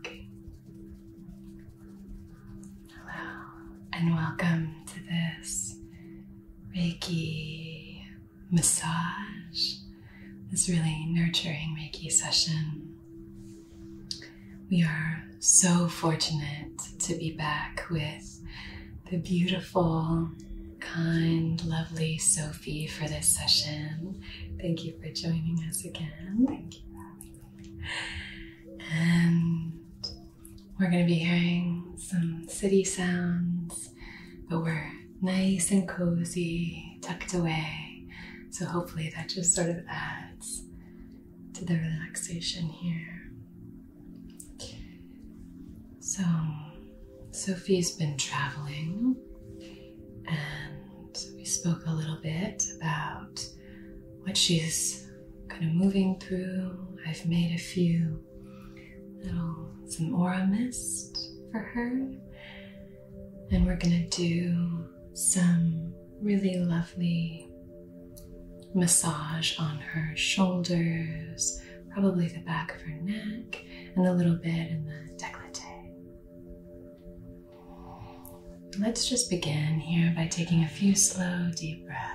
Okay. Hello, and welcome to this Reiki massage, this really nurturing Reiki session. We are so fortunate to be back with the beautiful, kind, lovely Sophie Sophie for this session. Thank you for joining us again. Thank you And we're going to be hearing some city sounds, but we're nice and cozy, tucked away. So hopefully that just sort of adds to the relaxation here. So, Sophie's been traveling, and we spoke a little bit about what she's kind of moving through. I've made a few little, some aura mist for her, and we're gonna do some really lovely massage on her shoulders, probably the back of her neck, and a little bit in the décolleté. Let's just begin here by taking a few slow, deep breaths.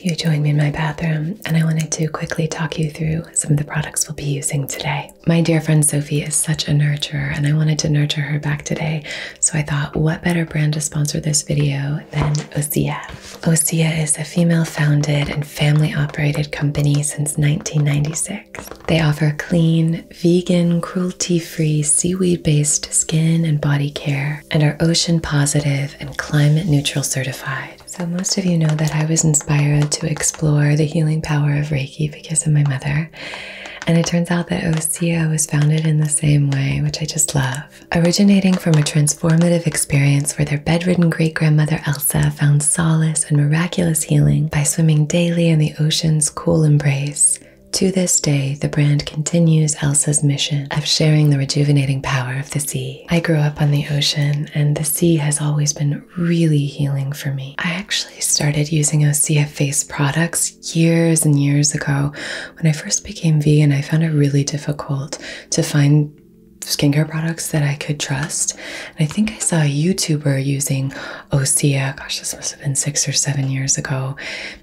You joined me in my bathroom, and I wanted to quickly talk you through some of the products we'll be using today. My dear friend Sophie is such a nurturer, and I wanted to nurture her back today so I thought, what better brand to sponsor this video than Osea? Osea is a female founded and family operated company since 1996. They offer clean, vegan, cruelty free, seaweed based skin and body care and are ocean positive and climate neutral certified. So, most of you know that I was inspired to explore the healing power of Reiki because of my mother. And it turns out that Osea was founded in the same way, which I just love. Originating from a transformative experience where their bedridden great grandmother Elsa found solace and miraculous healing by swimming daily in the ocean's cool embrace. To this day, the brand continues Elsa's mission of sharing the rejuvenating power of the sea. I grew up on the ocean, and the sea has always been really healing for me. I actually I started using OCF face products years and years ago. When I first became vegan, I found it really difficult to find skincare products that I could trust. I think I saw a YouTuber using Osea, gosh, this must have been six or seven years ago,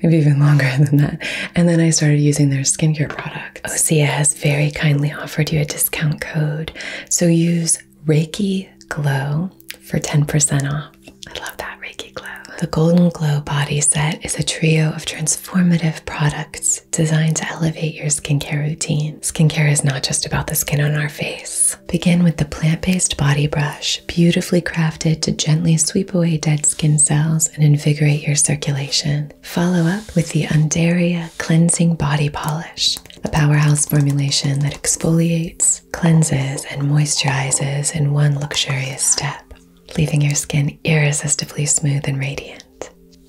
maybe even longer than that. And then I started using their skincare products. Osea has very kindly offered you a discount code. So use Reiki Glow for 10% off. I love that Reiki Glow. The Golden Glow Body Set is a trio of transformative products designed to elevate your skincare routine. Skincare is not just about the skin on our face. Begin with the plant based body brush, beautifully crafted to gently sweep away dead skin cells and invigorate your circulation. Follow up with the Undaria Cleansing Body Polish, a powerhouse formulation that exfoliates cleanses, and moisturizes in one luxurious step, leaving your skin irresistibly smooth and radiant.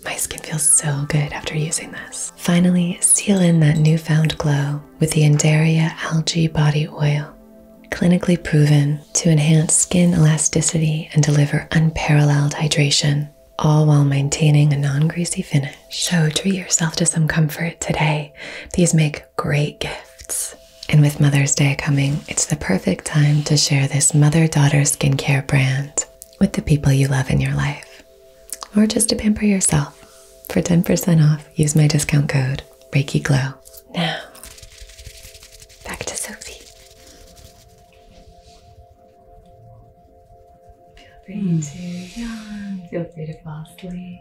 My skin feels so good after using this. Finally, seal in that newfound glow with the Andaria Algae Body Oil, clinically proven to enhance skin elasticity and deliver unparalleled hydration, all while maintaining a non greasy finish. So treat yourself to some comfort today. These make great gifts. And with Mother's Day coming, it's the perfect time to share this mother daughter skincare brand with the people you love in your life, or just to pamper yourself. For 10% off, use my discount code Glow Now, back to Sophie. Feel free to feel free to fall asleep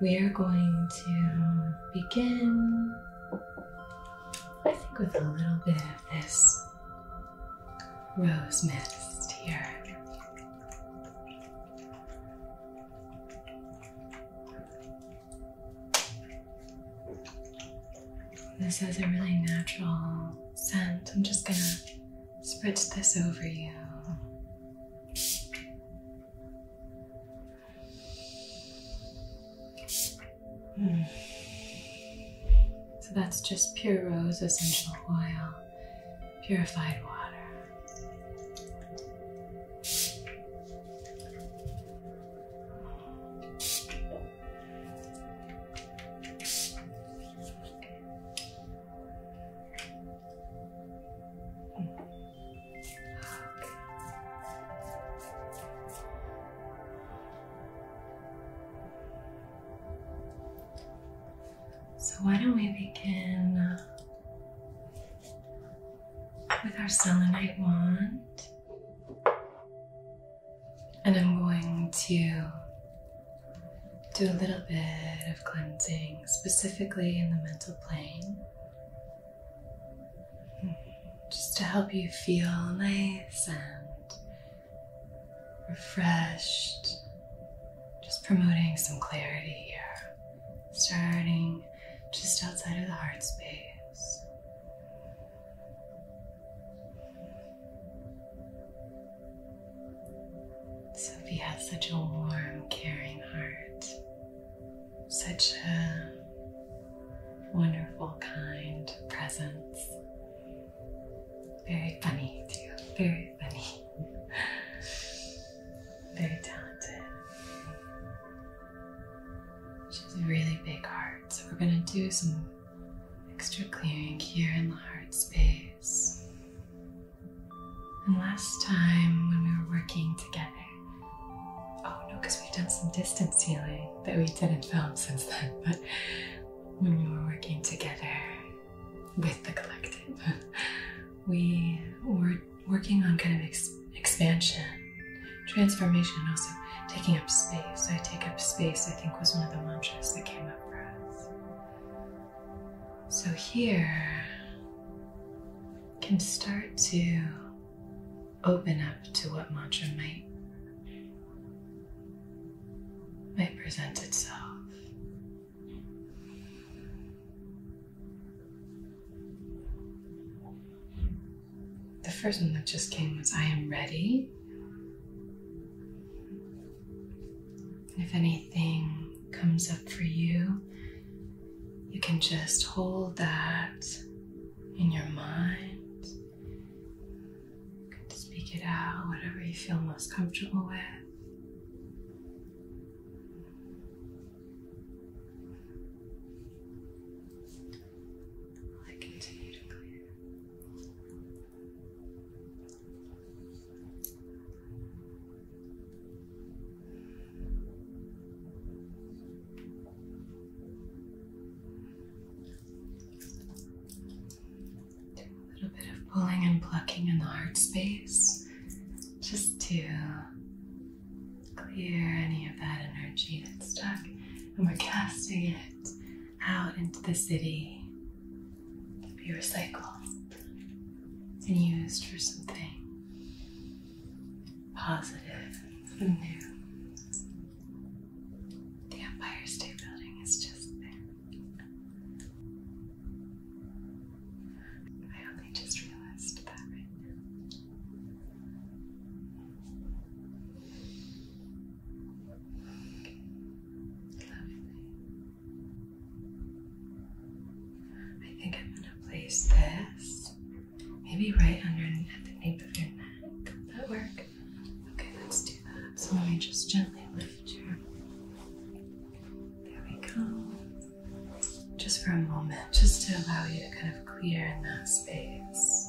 we are going to begin, I think, with a little bit of this rose mist here. This has a really natural scent. I'm just gonna spritz this over you. So that's just pure rose essential oil, purified water. So, why don't we begin uh, with our selenite wand? And I'm going to do a little bit of cleansing, specifically in the mental plane, just to help you feel nice and refreshed. Just promoting some clarity here, starting just outside of the heart space. Sophie has such a warm, caring heart, such a wonderful, kind presence. Very funny, too. Very funny. Very talented. She has a really big heart, so we're going to do some extra clearing here in the heart space. And last time when we were working together, oh no, because we've done some distance healing that we didn't film since then, but when we were working together with the collective, we were working on kind of expansion, transformation, and also taking up space. I take up space, I think, was one of the mantras that came up for us. So here can start to open up to what mantra might might present itself. The first one that just came was I am ready. If anything comes up for you, you can just hold that in your mind. You can speak it out, whatever you feel most comfortable with. I continue to clear a little bit of pulling and plucking in the heart space just to clear any of that energy that's stuck. And we're casting it out into the city be recycled and used for something positive and new. The Empire State Building is just there. I only just realized that right now. Lovely. I think I'm going to place this maybe right underneath the nape of your neck. Does that work? Okay, let's do that. So let me just gently lift you. There we go. Just for a moment, just to allow you to kind of clear in that space.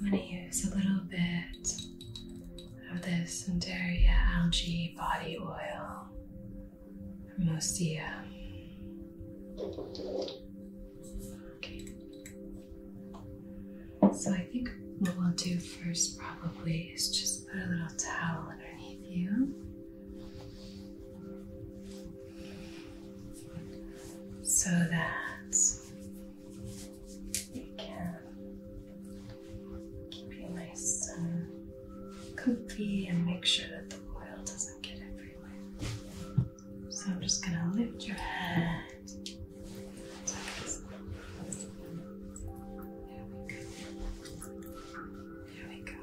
I'm going to use a little bit of this Centaurea algae body oil from Osea. Okay. So I think what we'll do first probably is just put a little towel underneath you. So that it can keep you nice and um, comfy and make sure that the oil doesn't get everywhere. So I'm just going to lift your head. There we go. There we go.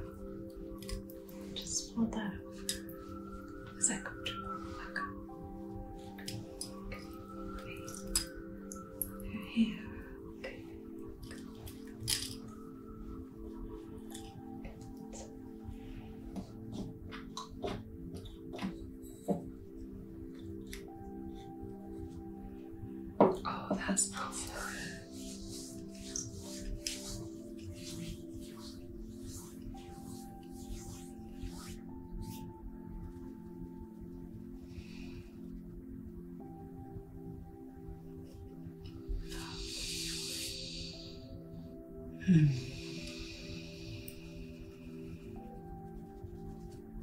Just fold that over. Is that comfortable? Okay. Okay. Oh, that's smells good. Hmm. Okay, I'm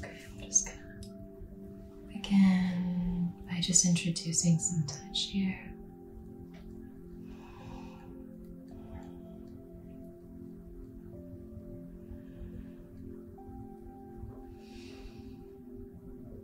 just gonna begin by just introducing some touch here.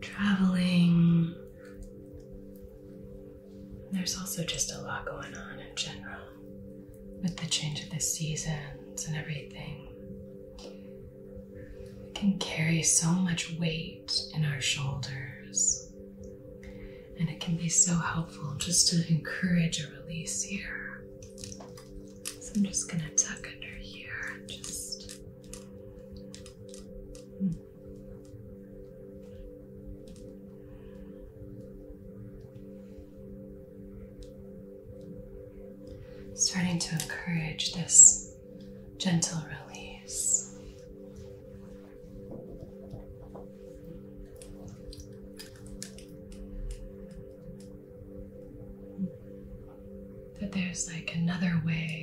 traveling, there's also just a lot going on in general with the change of the seasons and everything. We can carry so much weight in our shoulders, and it can be so helpful just to encourage a release here. So I'm just going to tuck under here just. Hmm. Starting to encourage this gentle release. That there's like another way.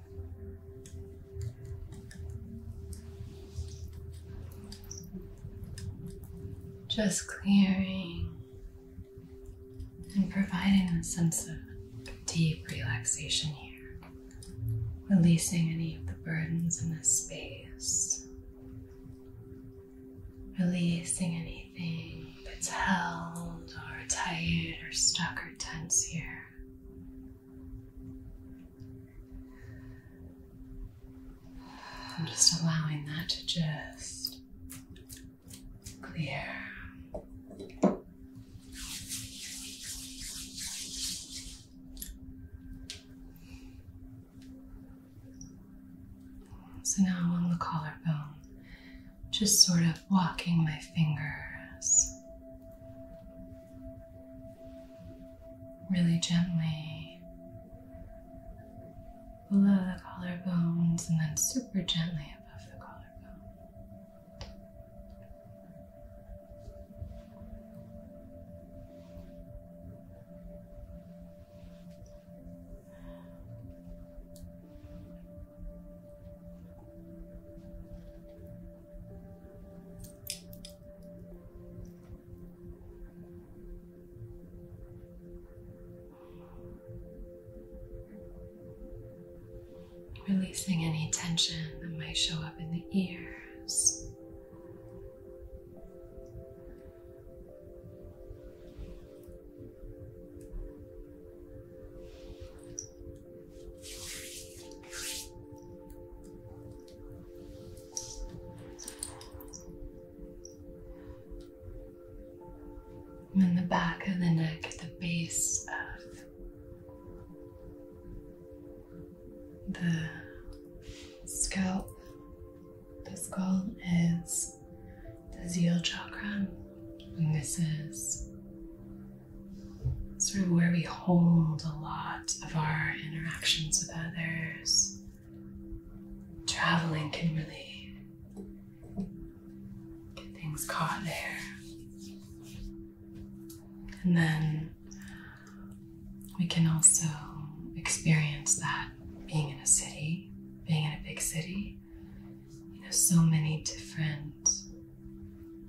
Just clearing and providing a sense of deep relaxation here, releasing any of the burdens in this space, releasing anything that's held or tight or stuck or tense here. I'm just allowing that to just clear. So now I'm on the collarbone, just sort of walking my fingers really gently below the collarbones and then super gently above the collarbone. Releasing any tension that might show up in the ears. And then the back of the neck at the base of the scalp, the skull is the zeal chakra, and this is sort of where we hold a lot of our interactions with others. Traveling can really get things caught there. And then we can also experience that being in a city, being in a big city. You know, so many different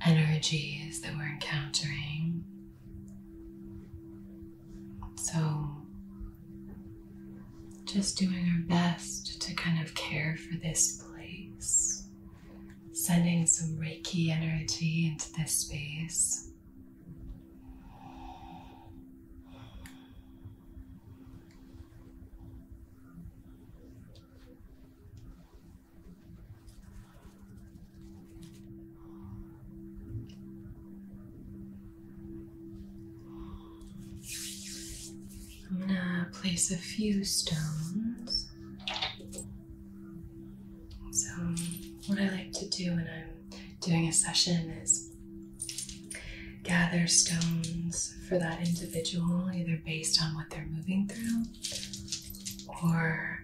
energies that we're encountering. So, just doing our best to kind of care for this place, sending some Reiki energy into this space. I'm gonna place a few stones. So, what I like to do when I'm doing a session is gather stones for that individual, either based on what they're moving through or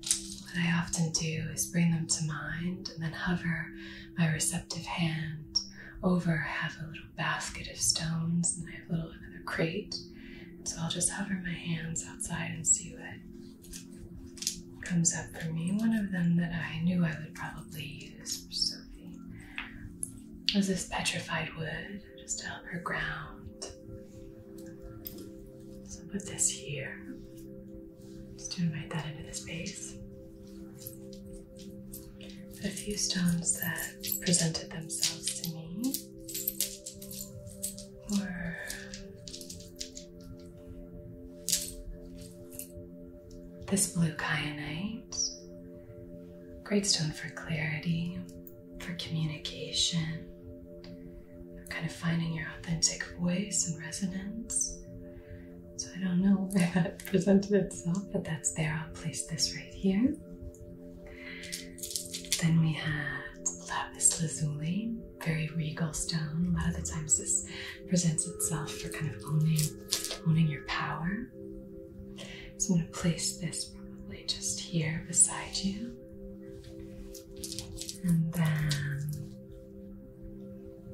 what I often do is bring them to mind and then hover my receptive hand over. I have a little basket of stones and I have a little another crate. So I'll just hover my hands outside and see what comes up for me. One of them that I knew I would probably use for Sophie was this petrified wood. Just to help her ground. So put this here. Just to invite that into the space. A few stones that presented themselves to me were this blue kyanite, great stone for clarity, for communication, kind of finding your authentic voice and resonance. So I don't know where that presented itself, but that's there. I'll place this right here. Then we have lapis lazuli, very regal stone. A lot of the times this presents itself for kind of owning, owning your power. So I'm going to place this probably just here beside you. And then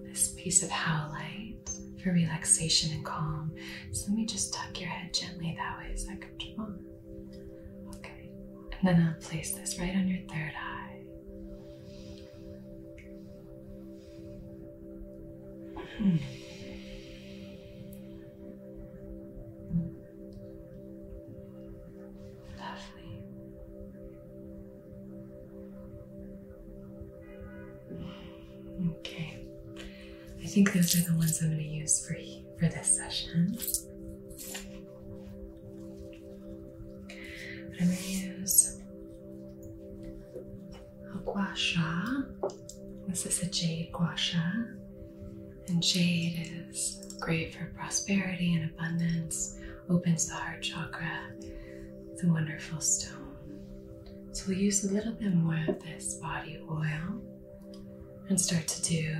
this piece of howlite for relaxation and calm. So let me just tuck your head gently that way. Is that comfortable? Okay. And then I'll place this right on your third eye. Hmm. Lovely. Okay. I think those are the ones I'm going to use for for this session. I'm going to use a gua sha. This is a jade guasha? And jade is great for prosperity and abundance, opens the heart chakra. It's a wonderful stone. So we'll use a little bit more of this body oil and start to do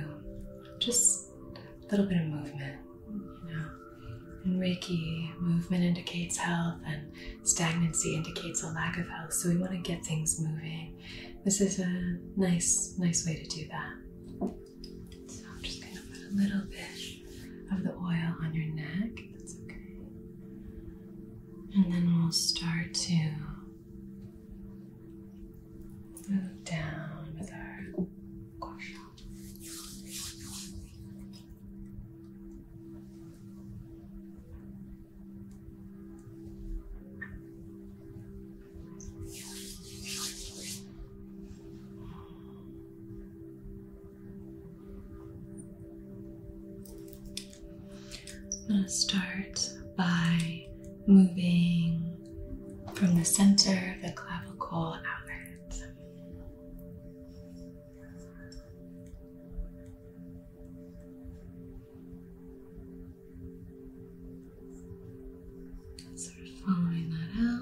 just a little bit of movement, you know. In Reiki, movement indicates health and stagnancy indicates a lack of health. So we want to get things moving this is a nice, nice way to do that. So I'm just going to put a little bit of the oil on your neck. That's okay. And then we'll start to move down with our I'm going to start by moving from the center of the clavicle outward. And sort of following that out.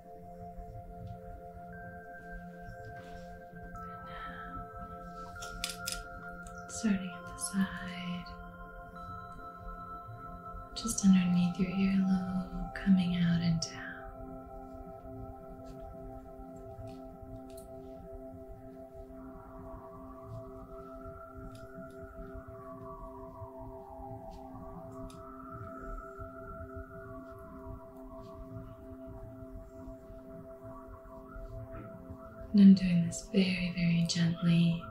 starting at the side, just underneath your earlobe, coming out and down. And I'm doing this very, very gently,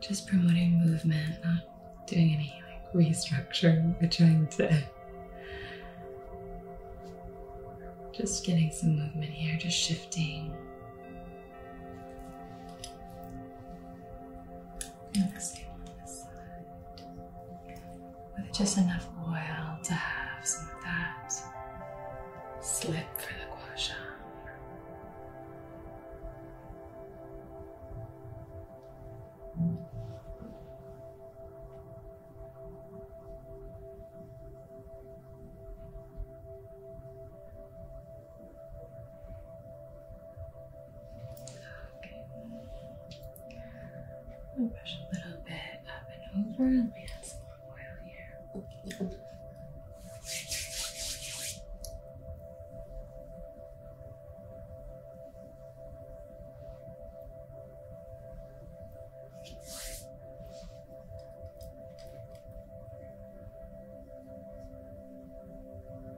just promoting movement, not doing any like restructuring or trying to. Just getting some movement here, just shifting with just enough oil to have some that slip for the gua I'm gonna brush a little bit up and over, and we have some oil here.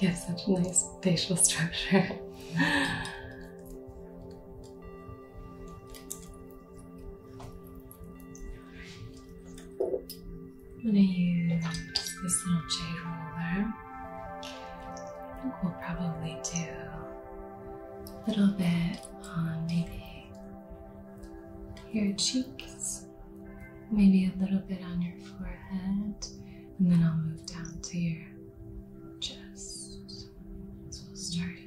You have such a nice facial structure. I'm gonna use this little jade roller. I think we'll probably do a little bit on maybe your cheeks, maybe a little bit on your forehead, and then I'll move down to your chest. So we'll start here.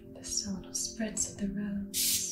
the sound spreads of the rose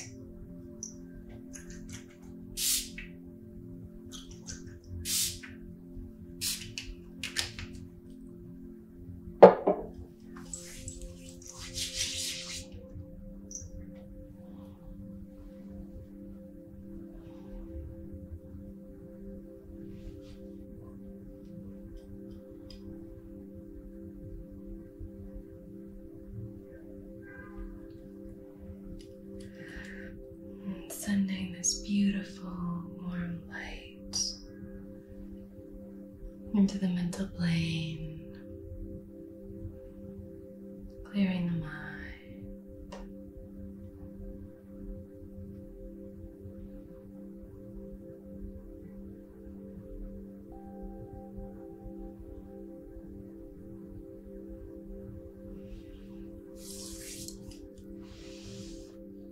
sending this beautiful warm light into the mental plane, clearing the mind.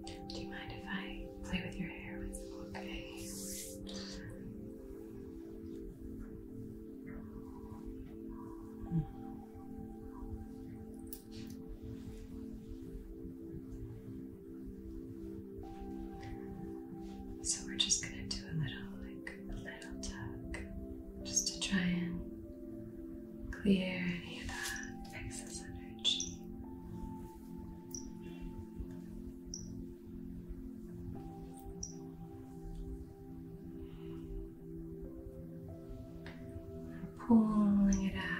Do you mind if I play with your hair with some okay? So we're just gonna do a little, like a little tug, just to try and clear any of that excess energy. Pulling it out.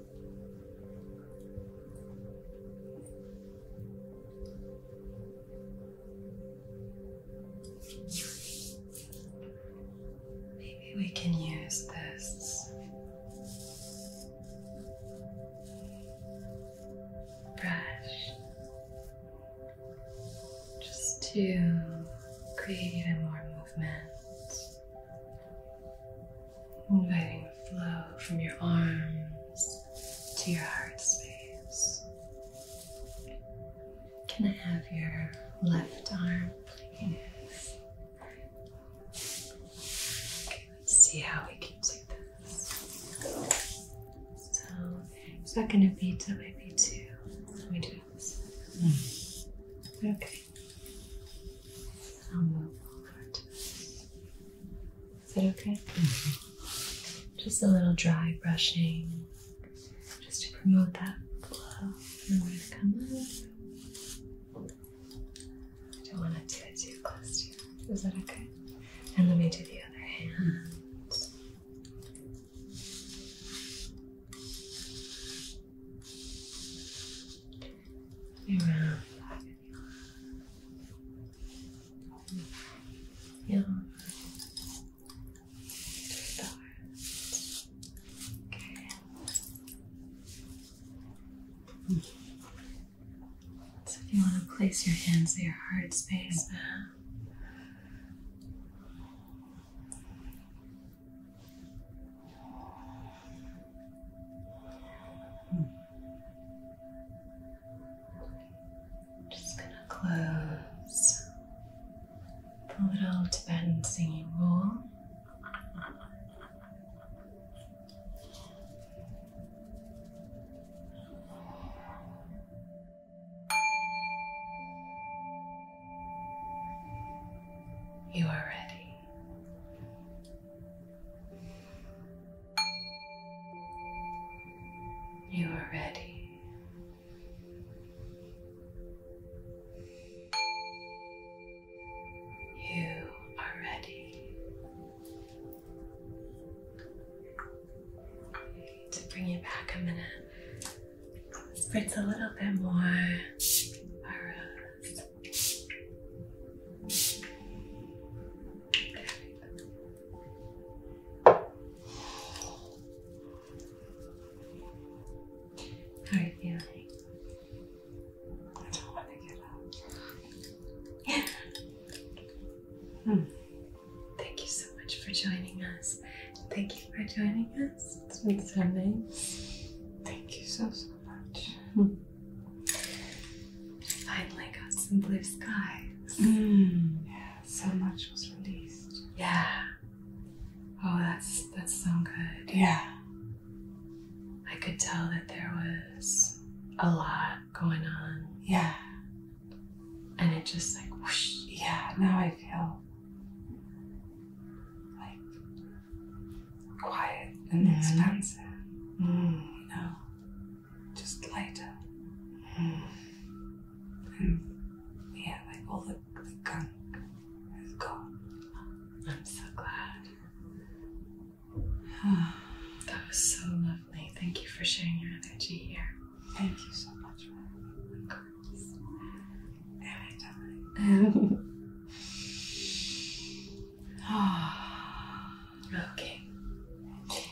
Maybe we can use this brush just to create even more movement inviting the flow from your arms to your heart space. Can I have your left arm, please? Okay, let's see how we can do this. So it's not going to be till maybe two. Let me do this. Hmm. Okay. Is that okay? Just a little dry brushing, just to promote that glow. And we gonna come up. I don't want to do it too close to you. Is that okay? And let me do the other hand. Around yeah. Okay. So if you want to place your hands in your heart space now. Uh, just gonna close the little Tibetan singing bowl. You are ready. You are ready. You are ready to bring you back a minute. Spritz a little bit more. Uh, how are you feeling? I don't want to get up. Yeah. Hmm. Thank you so much for joining us. Thank you for joining us. It's been so nice. Thank you so so much. Hmm. Finally got some blue skies. Mm. Yeah, so much was released. Yeah. Oh, that's that's so good. Yeah. I could tell that there was a lot going on. Yeah. And it just like whoosh. Yeah, now I feel like quiet and mm. expansive. Mm. just lighter. Mm. And yeah, like all the, gunk has gone. I'm so glad. that was so lovely. Thank you for sharing your energy here. Thank you so much for having me. Okej. Okay.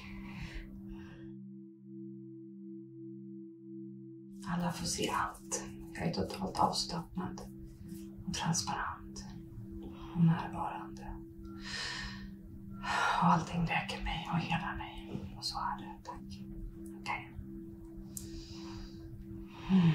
Alla får se allt. Jag är totalt avslappnad och transparent och närvarande. Och allting läker mig och hela mig. Och så är det. Tack. Okej. Okay. Mm.